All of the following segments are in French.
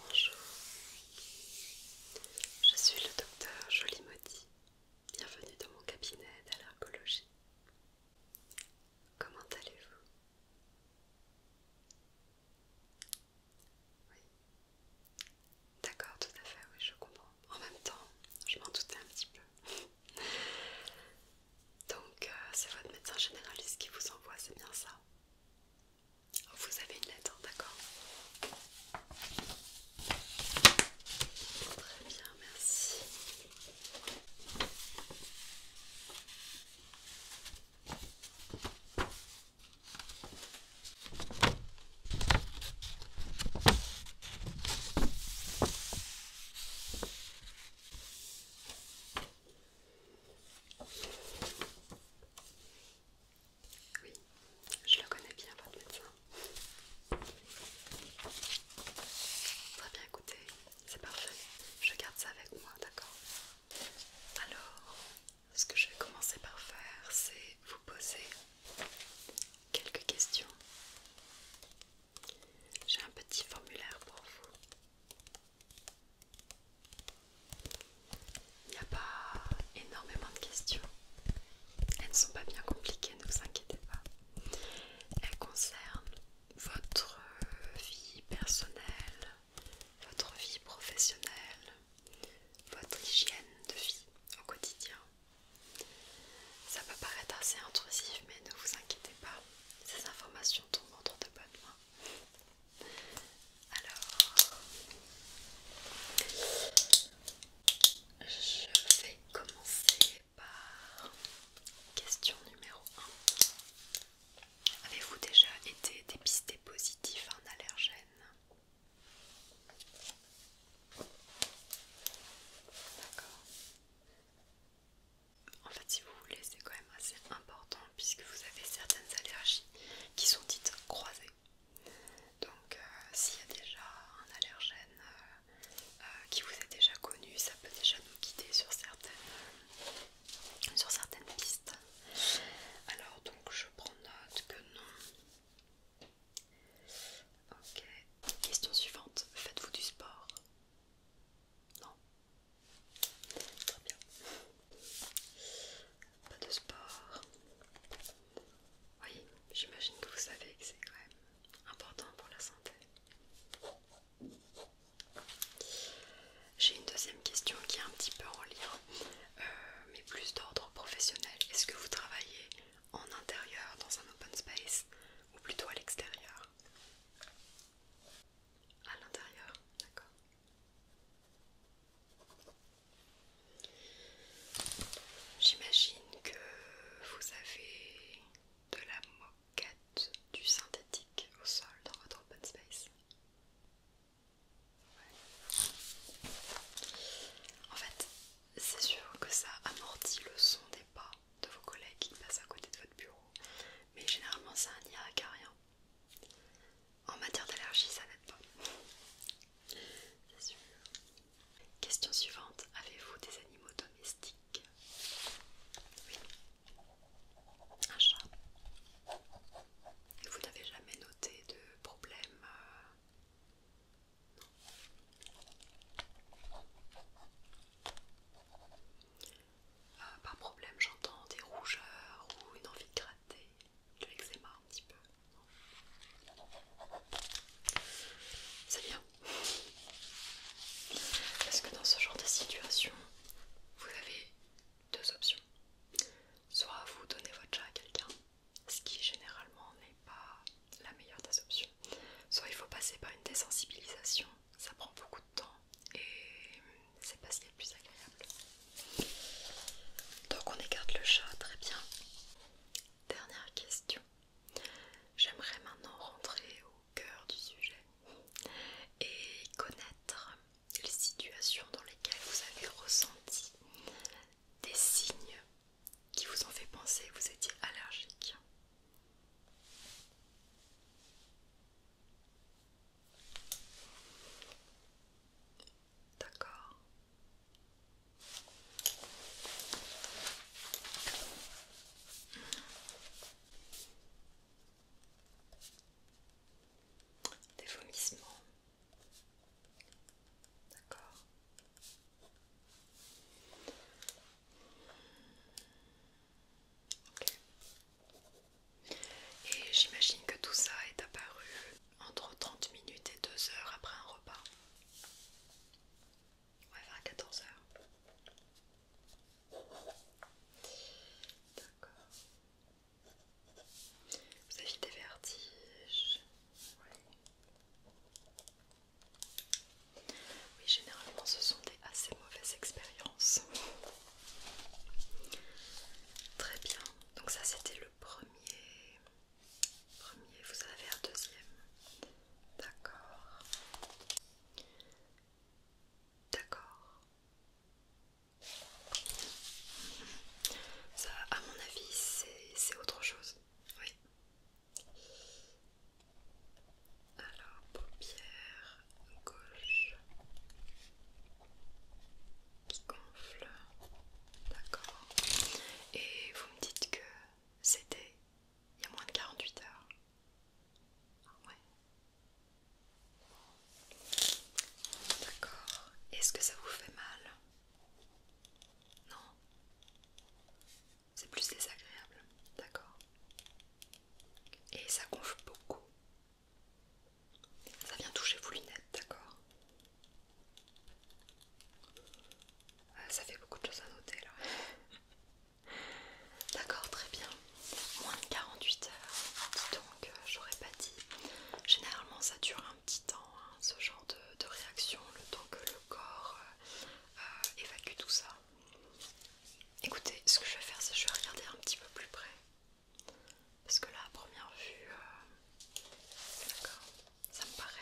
Bonjour, je suis le docteur Maudit, Bienvenue dans mon cabinet d'allergologie. Comment allez-vous oui. D'accord, tout à fait, oui, je comprends. En même temps, je m'en doutais un petit peu. Donc, euh, c'est votre médecin généraliste qui vous envoie, c'est bien ça Vous avez une lettre, d'accord Très bien, merci. Oui, je le connais bien, votre médecin. Très bien, écoutez, c'est parfait. Je garde ça avec moi, d'accord Alors, ce que je vais commencer par faire, c'est vous poser quelques questions. J'ai un petit formulaire pour vous. Il n'y a pas énormément de questions. Elles ne sont pas bien compliquées, ne vous inquiétez pas. Elles concernent votre vie personnelle, votre vie professionnelle, votre hygiène de vie au quotidien. Ça peut paraître assez intrusif, mais ne vous inquiétez pas, ces informations tombent entre de bonnes mains. Alors, je vais commencer par question numéro 1. Avez-vous déjà été dépisté positif à un allergène D'accord. En fait, si vous voulez, c'est quand même assez important puisque vous avez certaines allergies qui sont dites croisées. Donc, euh, s'il y a déjà un allergène euh, euh, qui vous est déjà connu, ça peut déjà nous guider sur certaines, sur certaines pistes. Alors, donc, je prends note que non, Ok. Question suivante. Faites-vous du sport Non. Très bien. Pas de sport. Oui, j'imagine que vous savez que c'est quand même important pour la santé. J'ai une deuxième question qui est un petit peu en lien euh, mais plus d'ordre professionnel. Est-ce que vous travaillez en intérieur dans un open space ou plutôt à l'extérieur À l'intérieur, d'accord. J'imagine que vous avez de la moquette, du synthétique au sol dans votre open space. En fait, c'est sûr que ça amortit le son des pas de vos collègues qui passent à côté de votre bureau, mais généralement ça n'y a à rien. En matière d'allergie, ça n'aide pas. C'est sûr. Question suivante avez-vous des animaux domestiques Oui. Un chat. Et vous n'avez jamais noté de problème euh, euh, pas de problème, j'entends des rougeurs ou une envie de gratter, de l'eczéma un petit peu. C'est bien. Parce que dans ce genre de situation, vous avez deux options. Soit vous donnez votre chat à quelqu'un, ce qui généralement n'est pas la meilleure des options. Soit il faut passer par une désensibilisation, ça prend beaucoup de temps et c'est pas ce qui est plus agréable. Donc on écarte le chat, très bien. Dernière question. J'aimerais maintenant rentrer au cœur du sujet et connaître les situations dans lesquelles vous avez ressenti des signes qui vous ont fait penser que vous étiez allergique. D'accord. Des vomissements. D'accord. Et j'imagine que tout ça est apparu entre 30 minutes et 2 heures après un repas. Ouais, vers 14 heures. D'accord. Vous avez des vertiges. Oui, généralement ce sont des assez mauvaises expériences. Très bien, donc ça c'était le premier. Premier, vous avez un deuxième. D'accord. D'accord. Ça, à mon avis, c'est autre chose. Oui. Alors, paupière gauche qui gonfle. D'accord. Et vous me dites que c'était il y a moins de 48 heures. Ah ouais. D'accord. Est-ce que ça vous fait mal non. C'est plus désagréable, d'accord. Et ça gonfle beaucoup. Ça vient toucher vos lunettes, d'accord. Euh, ça fait beaucoup de choses à noter là. d'accord, très bien. Moins de 48 heures. donc, euh, j'aurais pas dit. Généralement ça dure petit temps, hein, ce genre de, réaction, le temps que le corps euh, euh, évacue tout ça. Écoutez, ce que je vais faire, c'est que je vais regarder un petit peu plus près. Parce que là, à première vue, euh, d'accord, ça me paraît,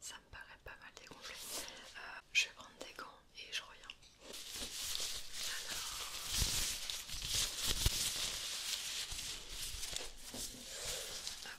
ça me paraît pas mal dégonflé. je vais prendre des gants et je reviens. Alors,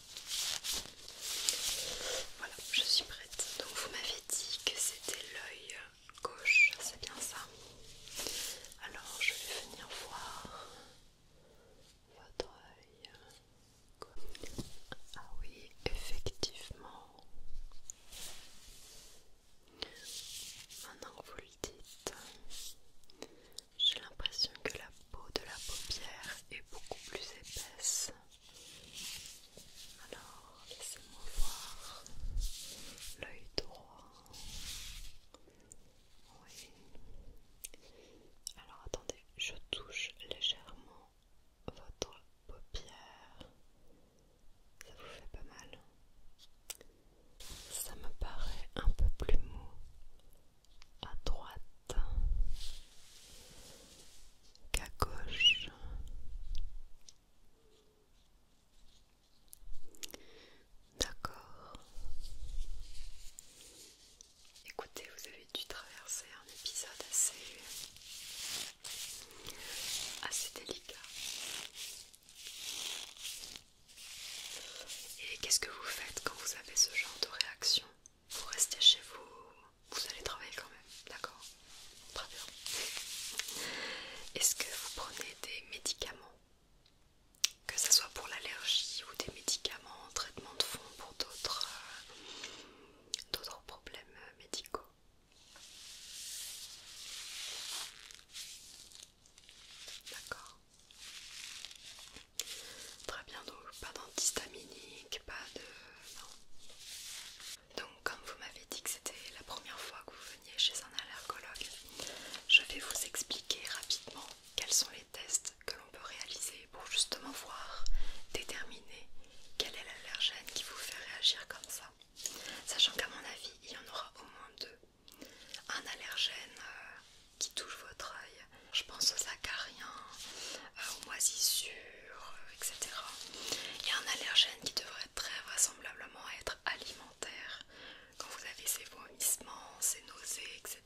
Voilà, je suis prête. Donc vous m'avez dit que c'était l'œil gauche, c'est bien ça Alors je vais venir voir votre œil. Ah oui, effectivement. Maintenant que vous le dites, j'ai l'impression que la peau de la paupière est beaucoup plus épaisse. Alors, laissez-moi voir l'œil droit. Oui. Alors, attendez, je touche légèrement votre paupière. Ça vous fait pas mal. Ça me paraît un peu plus mou à droite. D'accord. Écoutez, vous avez dû traverser un épisode assez, assez délicat. Et qu'est-ce que vous faites quand vous avez ce genre de réaction vous restez chez vous, vous allez travailler quand même, d'accord Très bien. Est-ce que vous prenez des médicaments Que ce soit pour l'allergie ou des médicaments, traitement de fond pour euh, d'autres problèmes médicaux D'accord. Très bien, donc pas d'antihistaminique, pas de... Non. Donc comme vous m'avez dit que c'était la première fois que vous veniez chez un allergologue, je vais vous expliquer rapidement quels sont les tests que l'on peut réaliser pour justement voir, déterminer quel est l'allergène qui vous fait réagir comme ça. Sachant qu'à mon avis, il y en aura au moins deux. Un allergène euh, qui touche votre œil, je pense aux acariens, aux moisissures, etc. Il y a un allergène qui devrait très vraisemblablement être alimentaire quand vous avez ces vomissements, ces nausées, etc.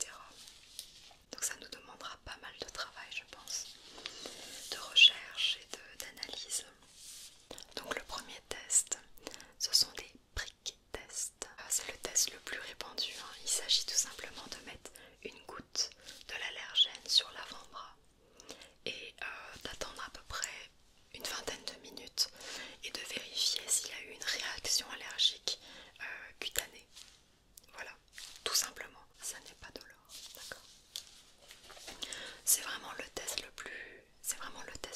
Donc ça nous demandera pas mal de travail, je pense, de recherche et d'analyse. Donc le premier test, ce sont des prick tests. Ah, c'est le test le plus répandu. Hein. Il s'agit tout simplement de mettre une goutte de l'allergène sur l'avant-bras et euh, d'attendre à peu près une vingtaine de minutes et de vérifier s'il y a eu une réaction allergique euh, cutanée. Voilà, tout simplement, ça n'est pas dolore, d'accord c'est vraiment le test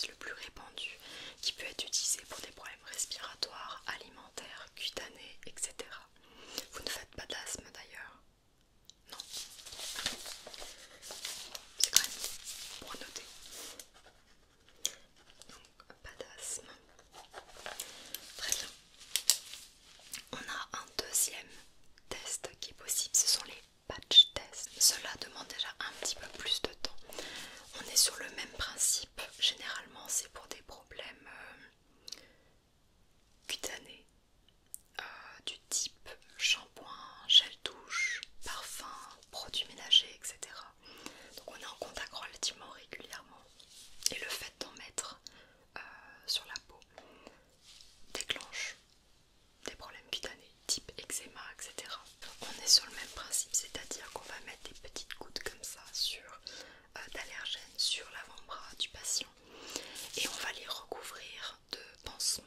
le plus répandu qui peut être utilisé pour des problèmes respiratoires, alimentaires, cutanés, etc. Vous ne faites pas d'asthme d'ailleurs. Non. C'est quand même pour noter. Donc, pas d'asthme. Très bien. On a un deuxième test qui est possible, ce sont les patch tests. Cela demande déjà un petit peu plus de temps. On est sur le même principe. Généralement, c'est pour des problèmes euh, cutanée euh, du type shampoing, gel douche, parfum, produits ménagers, etc. Donc on est en contact relativement régulièrement et le fait d'en mettre euh, sur la peau déclenche des problèmes cutanés type eczéma, etc. On est sur le même principe, c'est-à-dire qu'on va mettre des petites gouttes comme ça sur euh, d'allergènes sur l'avant-bras du patient et on va les recouvrir de pansements.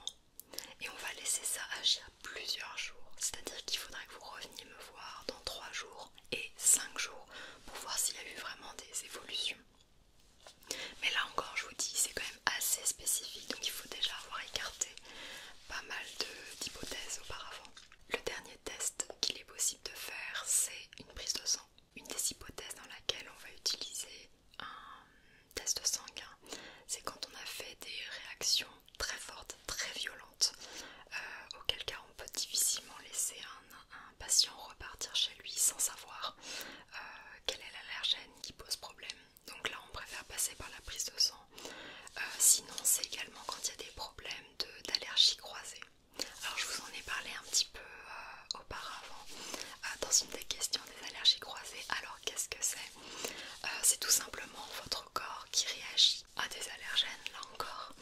Et on va laisser ça agir plusieurs jours. C'est-à-dire qu'il faudrait que vous reveniez me voir dans 3 jours et 5 jours pour voir s'il y a eu vraiment des évolutions. Mais là encore, je vous dis, c'est quand même assez spécifique, donc il faut déjà avoir écarté pas mal d'hypothèses auparavant. Le dernier test qu'il est possible de faire, c'est une prise de sang. Une des hypothèses dans laquelle on va utiliser un test sanguin, c'est quand on a fait des réactions très fortes, très violentes, auxquelles euh, auquel cas on peut difficilement laisser un, patient repartir chez lui sans savoir quelle euh, quel est l'allergène qui pose problème. Donc là on préfère passer par la prise de sang. Euh, sinon c'est également quand il y a des problèmes d'allergie croisées. croisée. Alors je vous en ai parlé un petit peu euh, auparavant euh, dans une des questions des allergies croisées. Alors qu'est-ce que c'est euh, C'est tout simplement votre corps qui réagit à des allergènes, là encore.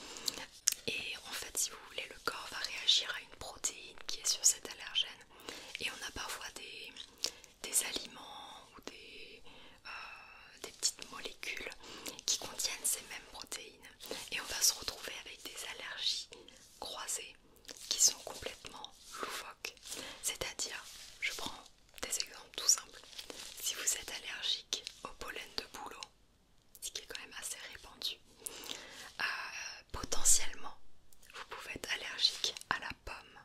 Et en fait, si vous voulez, le corps va réagir à une protéine qui est sur cet allergène. Et on a parfois des, aliments ou des petites molécules qui contiennent ces mêmes protéines. Et on va se retrouver avec des allergies croisées qui sont complètement loufoques. C'est-à-dire, je prends des exemples tout simples. Si vous êtes allergique au pollen de bouleau, ce qui est quand même assez répandu, euh, potentiellement vous pouvez être allergique à la pomme.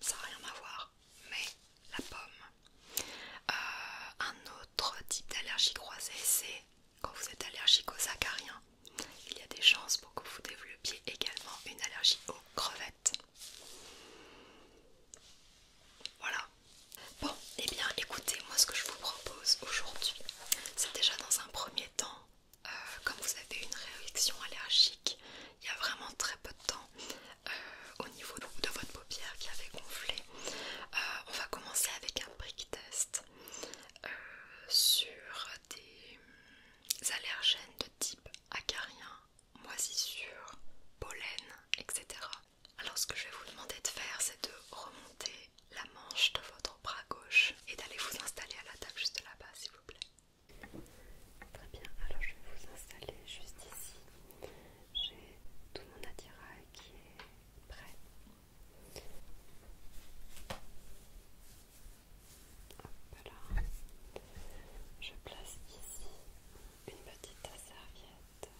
Ça n'a rien à voir, mais la pomme. Euh, un autre type d'allergie croisée, c'est quand vous êtes allergique aux acariens, il y a des chances pour que vous développiez également une allergie aux crevettes. Voilà. Bon, et eh bien écoutez, moi ce que je vous propose aujourd'hui, c'est déjà dans un premier temps, euh, comme vous avez une réaction allergique il y a vraiment très peu de temps euh, au niveau de, votre paupière qui avait gonflé, euh, on va commencer avec un brick test sur des allergènes de type acarien, moisissure, pollen, etc. Alors ce que je vais vous demander de faire, c'est de remonter la manche de votre bras gauche et d'aller vous installer à la table juste là-bas, s'il vous plaît. Très bien, alors je vais vous installer juste ici. J'ai tout mon attirail qui est prêt. Je place ici une petite serviette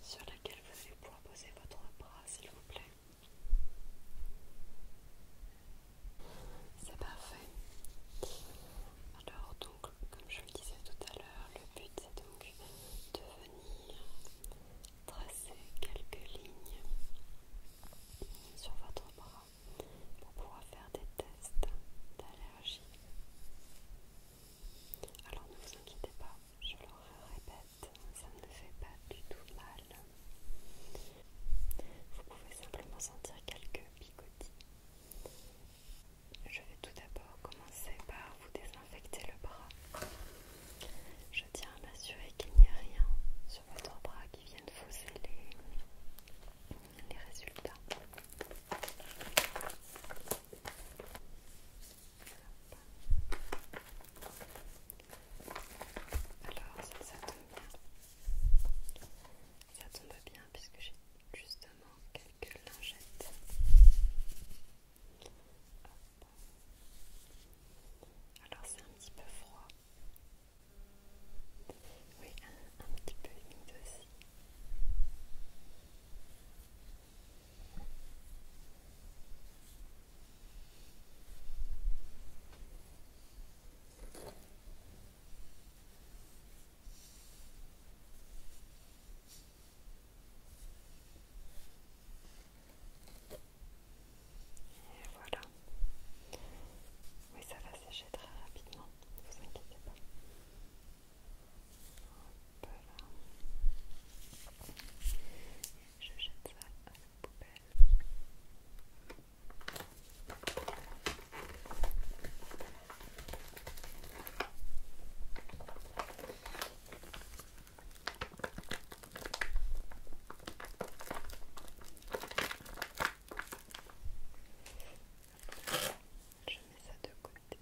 sur laquelle vous allez pouvoir poser votre bras, s'il vous plaît. C'est parfait. Alors donc, comme je le disais tout à l'heure, le but c'est donc de venir tracer quelques lignes sur votre bras pour pouvoir faire des tests d'allergie. Alors ne vous inquiétez pas, je le répète, ça ne fait pas du tout mal. Vous pouvez simplement sentir quelques picotis. Je vais tout d'abord commencer par vous désinfecter le bras. Je tiens à m'assurer qu'il n'y a rien sur votre bras qui vienne fausser les, résultats. Alors, ça, tombe bien. Ça tombe bien puisque j'ai justement quelques lingettes. Alors c'est un petit peu froid. Oui, un, petit peu humide aussi. Et voilà. Oui, ça va sécher très rapidement, ne vous inquiétez pas. Je jette ça à la poubelle. Je mets ça de côté.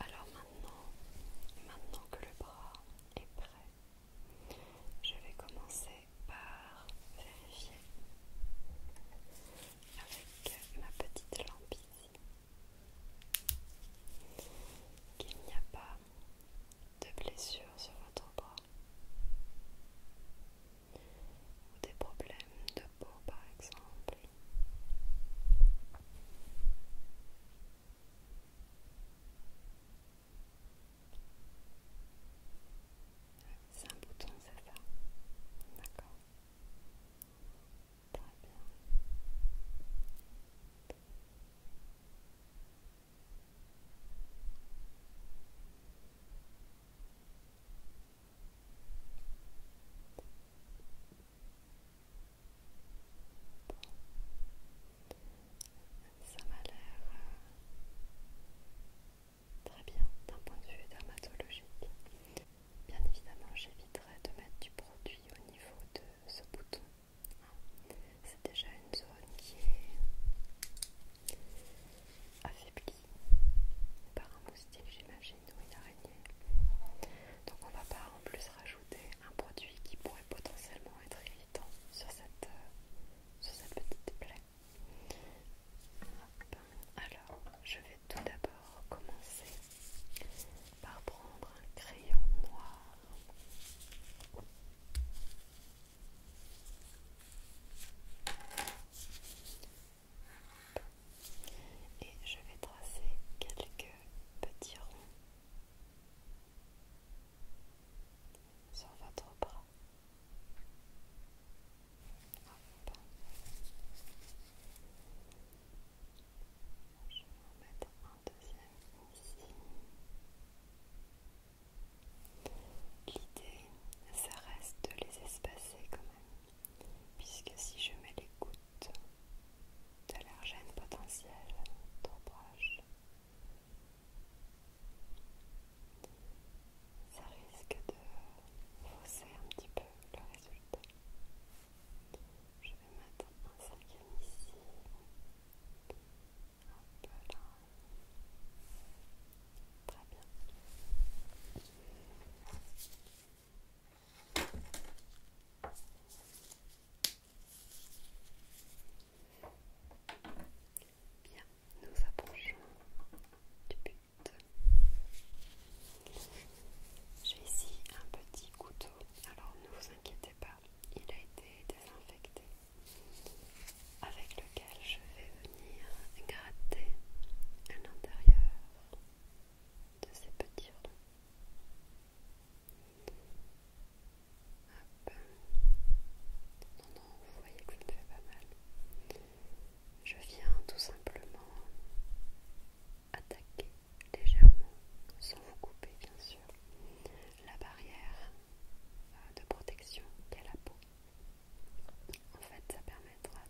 Alors maintenant, maintenant que le bras est prêt, je vais commencer par vérifier avec ma petite lampe ici qu'il n'y a pas de blessure sur votre bras ou des problèmes de peau par exemple. C'est un bouton, c'est ça D'accord. Très bien. Ça m'a l'air euh, très bien d'un point de vue dermatologique. Bien évidemment, j'éviterai de mettre du produit au niveau de ce bouton c'est déjà une zone qui est affaiblie par un moustique, j'imagine, ou une araignée. Donc on va pas en plus rajouter un produit qui pourrait potentiellement être irritant sur cette, euh, sur petite plaie. Alors, je vais tout d'abord commencer par prendre un crayon noir. Et je vais tracer quelques petits ronds sur votre bras. Je vais en mettre un deuxième ici. L'idée, ça reste de les espacer quand même, puisque si je mets les gouttes d'allergène potentiel trop proche, ça risque de fausser un petit peu le résultat. Je vais mettre un cinquième ici un Très bien. Bien, nous approchons du but. J'ai ici un petit couteau. Alors ne vous inquiétez pas, il a été désinfecté avec lequel je vais venir gratter à l'intérieur de ces petits ronds. Non, non, vous voyez que je ne fais pas mal. Je viens tout simplement attaquer légèrement, sans vous couper bien sûr, la barrière de protection qu'est la peau. En fait, ça permettra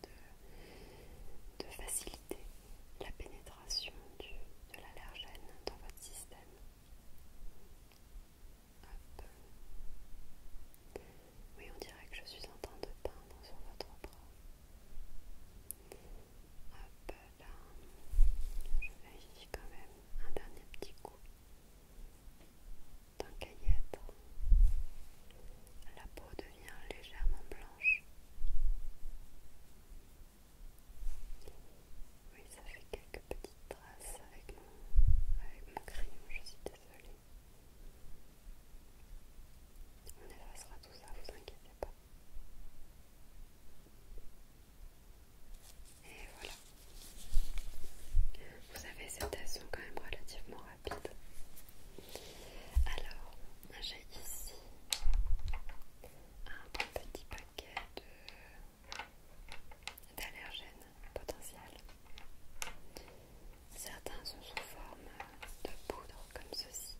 de, faciliter la pénétration de l'allergène dans votre système. Oui, on dirait que je suis en train de peindre sur votre bras. Hop là, je vérifie quand même un dernier petit coup d'un être, La peau devient légèrement blanche. Oui, ça fait quelques petites traces avec mon, crayon, je suis désolée. On effacera tout ça, vous inquiétez pas. Et voilà, vous savez, ces tests sont quand même relativement rapides. Alors, j'ai ici un petit paquet d'allergènes potentiels. Certains sont sous forme de poudre comme ceci.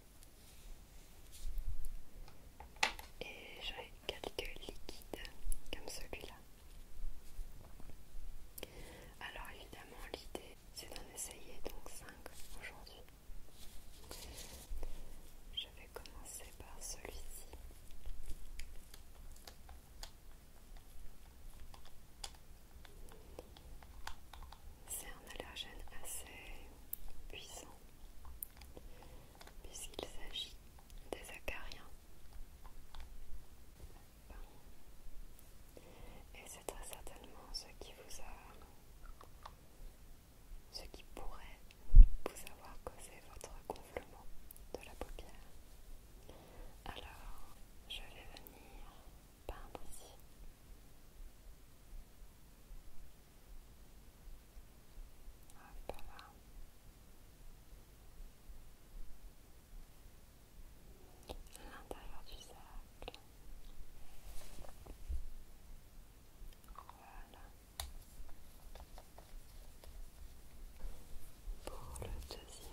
Et j'ai quelques liquides comme celui-là. Alors évidemment l'idée c'est d'en essayer donc 5 aujourd'hui. Je vais commencer par celui-ci. C'est un allergène assez puissant puisqu'il s'agit des acariens. Et c'est très certainement ce qui vous a... ce qui pourrait vous avoir causé votre gonflement de la paupière. Alors, je vais venir peindre ici. Ah, l'intérieur du cercle. Voilà. Pour le deuxième.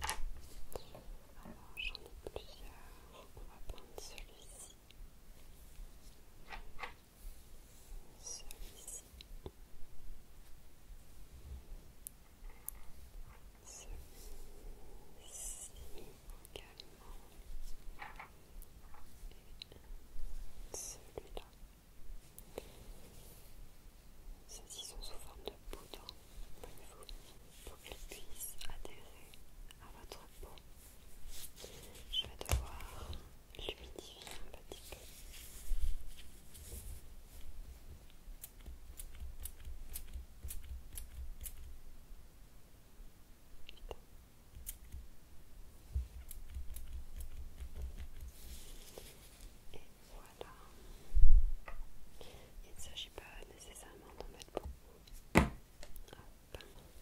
Alors j'en ai plusieurs, on va prendre celui-ci, celui-ci, celui-ci également, et celui-là. Ceux-ci sont sous forme de vous. pour qu'elles puissent adhérer à votre peau. Je vais devoir l'humidifier un petit peu. Voilà. Il ne s'agit pas nécessairement d'en mettre beaucoup.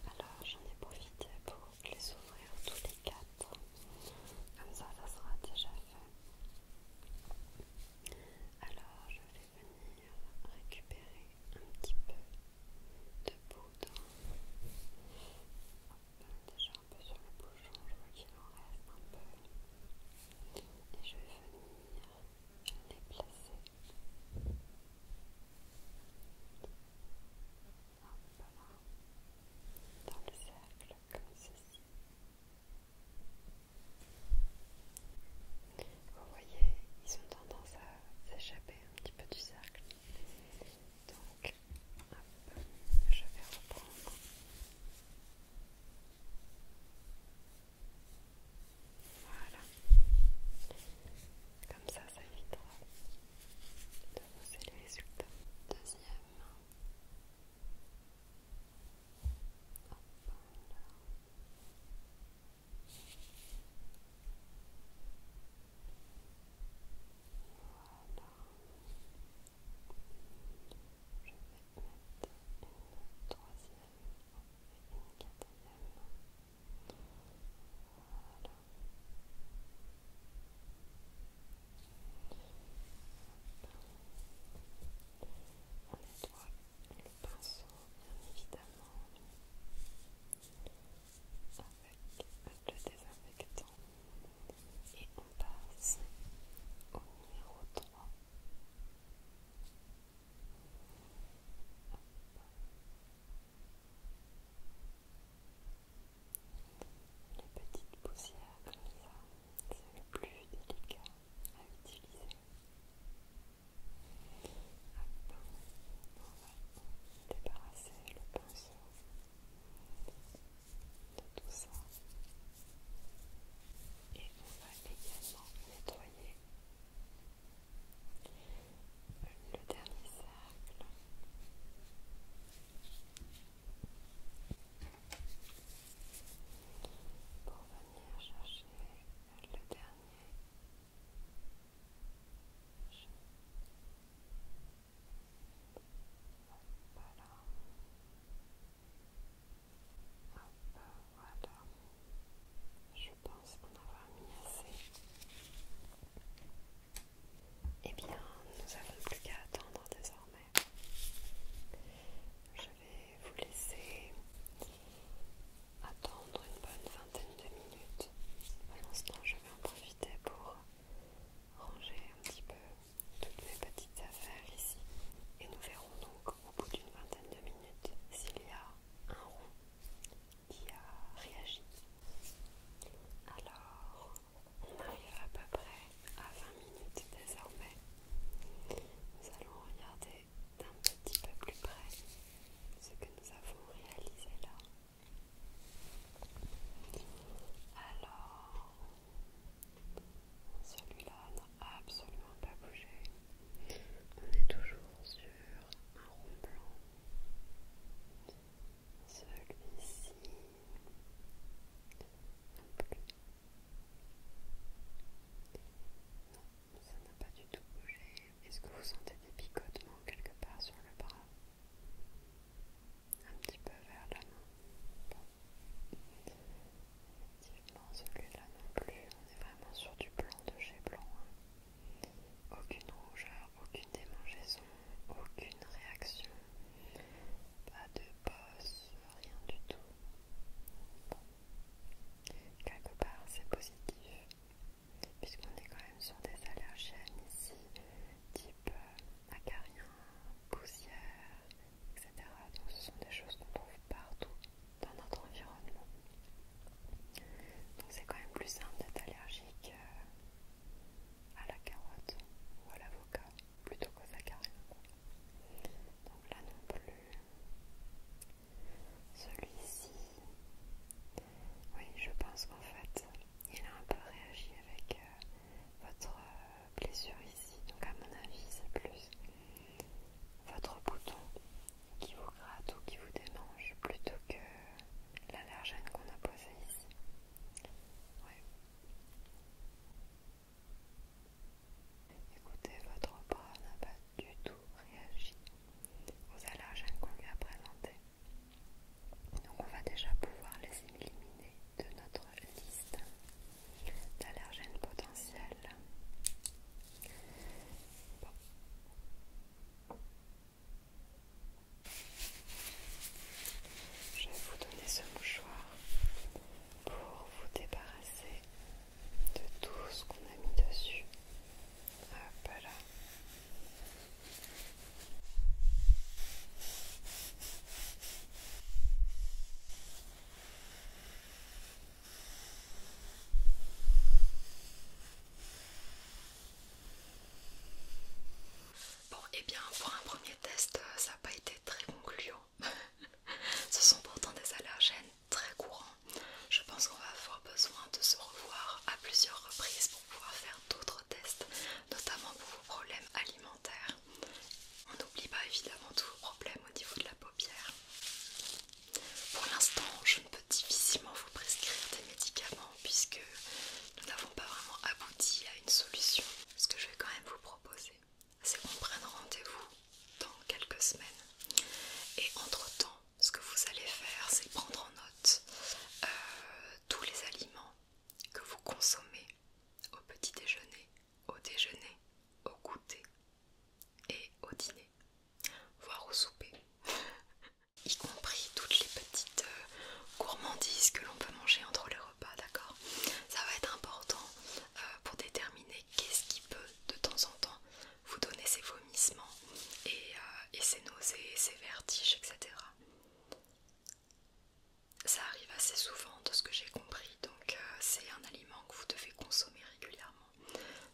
Alors j'en ai profité pour les ouvrir tous les quatre. Comme ça, ça sera déjà fait. Alors je vais venir récupérer un petit peu de poudre. Déjà un peu sur le bouchon, je vois qu'il en reste un peu et je vais venir les placer. dans le cercle comme ceci. Vous voyez, ils ont tendance à s'échapper un petit peu du cercle. Donc, je vais reprendre voilà. Comme ça, ça évitera de bosser les résultats. Deuxième. Hop, voilà. Voilà. Je vais mettre une troisième et une quatrième. Voilà. On nettoie le pinceau bien évidemment avec le désinfectant et on passe au numéro 3. Les petites poussières comme ça, c'est le plus délicat à utiliser. on va débarrasser le pinceau de tout ça et on va également nettoyer le dernier cercle pour venir chercher le dernier voilà. Hop, voilà. Je pense en avoir mis assez. Eh bien, nous n'avons plus qu'à attendre désormais. Je vais vous laisser attendre une bonne vingtaine de minutes. Pour l'instant, je vais en profiter pour ranger un petit peu toutes mes petites affaires ici et nous verrons donc au bout d'une vingtaine de minutes s'il y a un roux qui a réagi. Alors, on arrive à peu près à 20 minutes désormais. Nous allons regarder d'un petit peu plus près ce que nous avons réalisé là. Alors, celui-là n'a absolument pas bougé. On est toujours sur un rond blanc. Celui-ci non plus. Non, ça n'a pas du tout bougé. Est-ce que vous sentez des picotements quelque part sur le bras Un petit peu vers la main. Effectivement, celui-là non plus, on est vraiment sur du blanc de chez blanc. Hein. Aucune rougeur, aucune démangeaison, aucune réaction, pas de bosse, rien du tout. Quelque part, c'est positif, puisqu'on est quand même sur des allergènes ici, type euh, acarien, poussière etc. Donc ce sont des choses qu'on trouve partout dans notre environnement. Donc c'est quand même plus simple d'être allergique euh, à la carotte ou à l'avocat plutôt qu'aux saccharines. Donc là non plus. Celui-ci, oui, je pense qu'en fait, il a un peu réagi avec euh, votre euh, blessure ici. Donc à mon avis, c'est plus votre bouton qui vous gratte ou qui vous démange plutôt que l'allergène qu'on a posé ici. Oui. Écoutez, votre bras n'a pas du tout réagi aux allergènes qu'on lui a présentés. Donc on va déjà pouvoir les éliminer de notre liste. Je vais vous donner ce mouchoir pour vous débarrasser de tout ce qu'on a mis dessus. Bon, et eh bien pour un premier test, euh, ça n'a pas été très concluant. Ce sont pourtant des allergènes très courants. Je pense qu'on va avoir besoin de se revoir à plusieurs reprises pour pouvoir faire d'autres tests, notamment pour vos problèmes alimentaires. On n'oublie pas évidemment tous vos problèmes au niveau de la paupière. Pour l'instant, je ne peux difficilement vous prescrire des médicaments puisque nous n'avons pas vraiment abouti à une solution. Ce que je vais quand même vous proposer, c'est qu'on prenne rendez-vous dans quelques semaines. Et entre-temps, ce que vous allez faire, c'est prendre en note euh, tous les aliments que vous consommez au petit déjeuner, au déjeuner, au goûter et au dîner voire au souper, y compris toutes les petites euh, gourmandises que l'on peut manger entre les repas, d'accord Ça va être important euh, pour déterminer qu'est-ce qui peut de temps en temps vous donner ces vomissements et, euh, ces nausées, ces vertiges, etc. Ça arrive assez souvent de ce que j'ai compris, donc c'est un aliment que vous devez consommer régulièrement.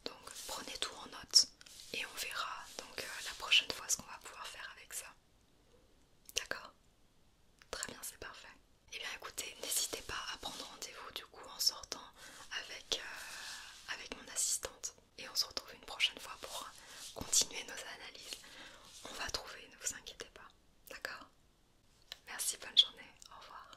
Donc prenez tout en note et on verra donc euh, la prochaine fois ce qu'on va pouvoir faire avec ça. D'accord Très bien, c'est parfait. Et eh bien écoutez, n'hésitez pas à prendre rendez-vous du coup en sortant avec, euh, avec mon assistante. Et on se retrouve une prochaine fois pour continuer nos analyses. On va trouver, ne vous inquiétez pas. D'accord Merci, bonne journée, au revoir.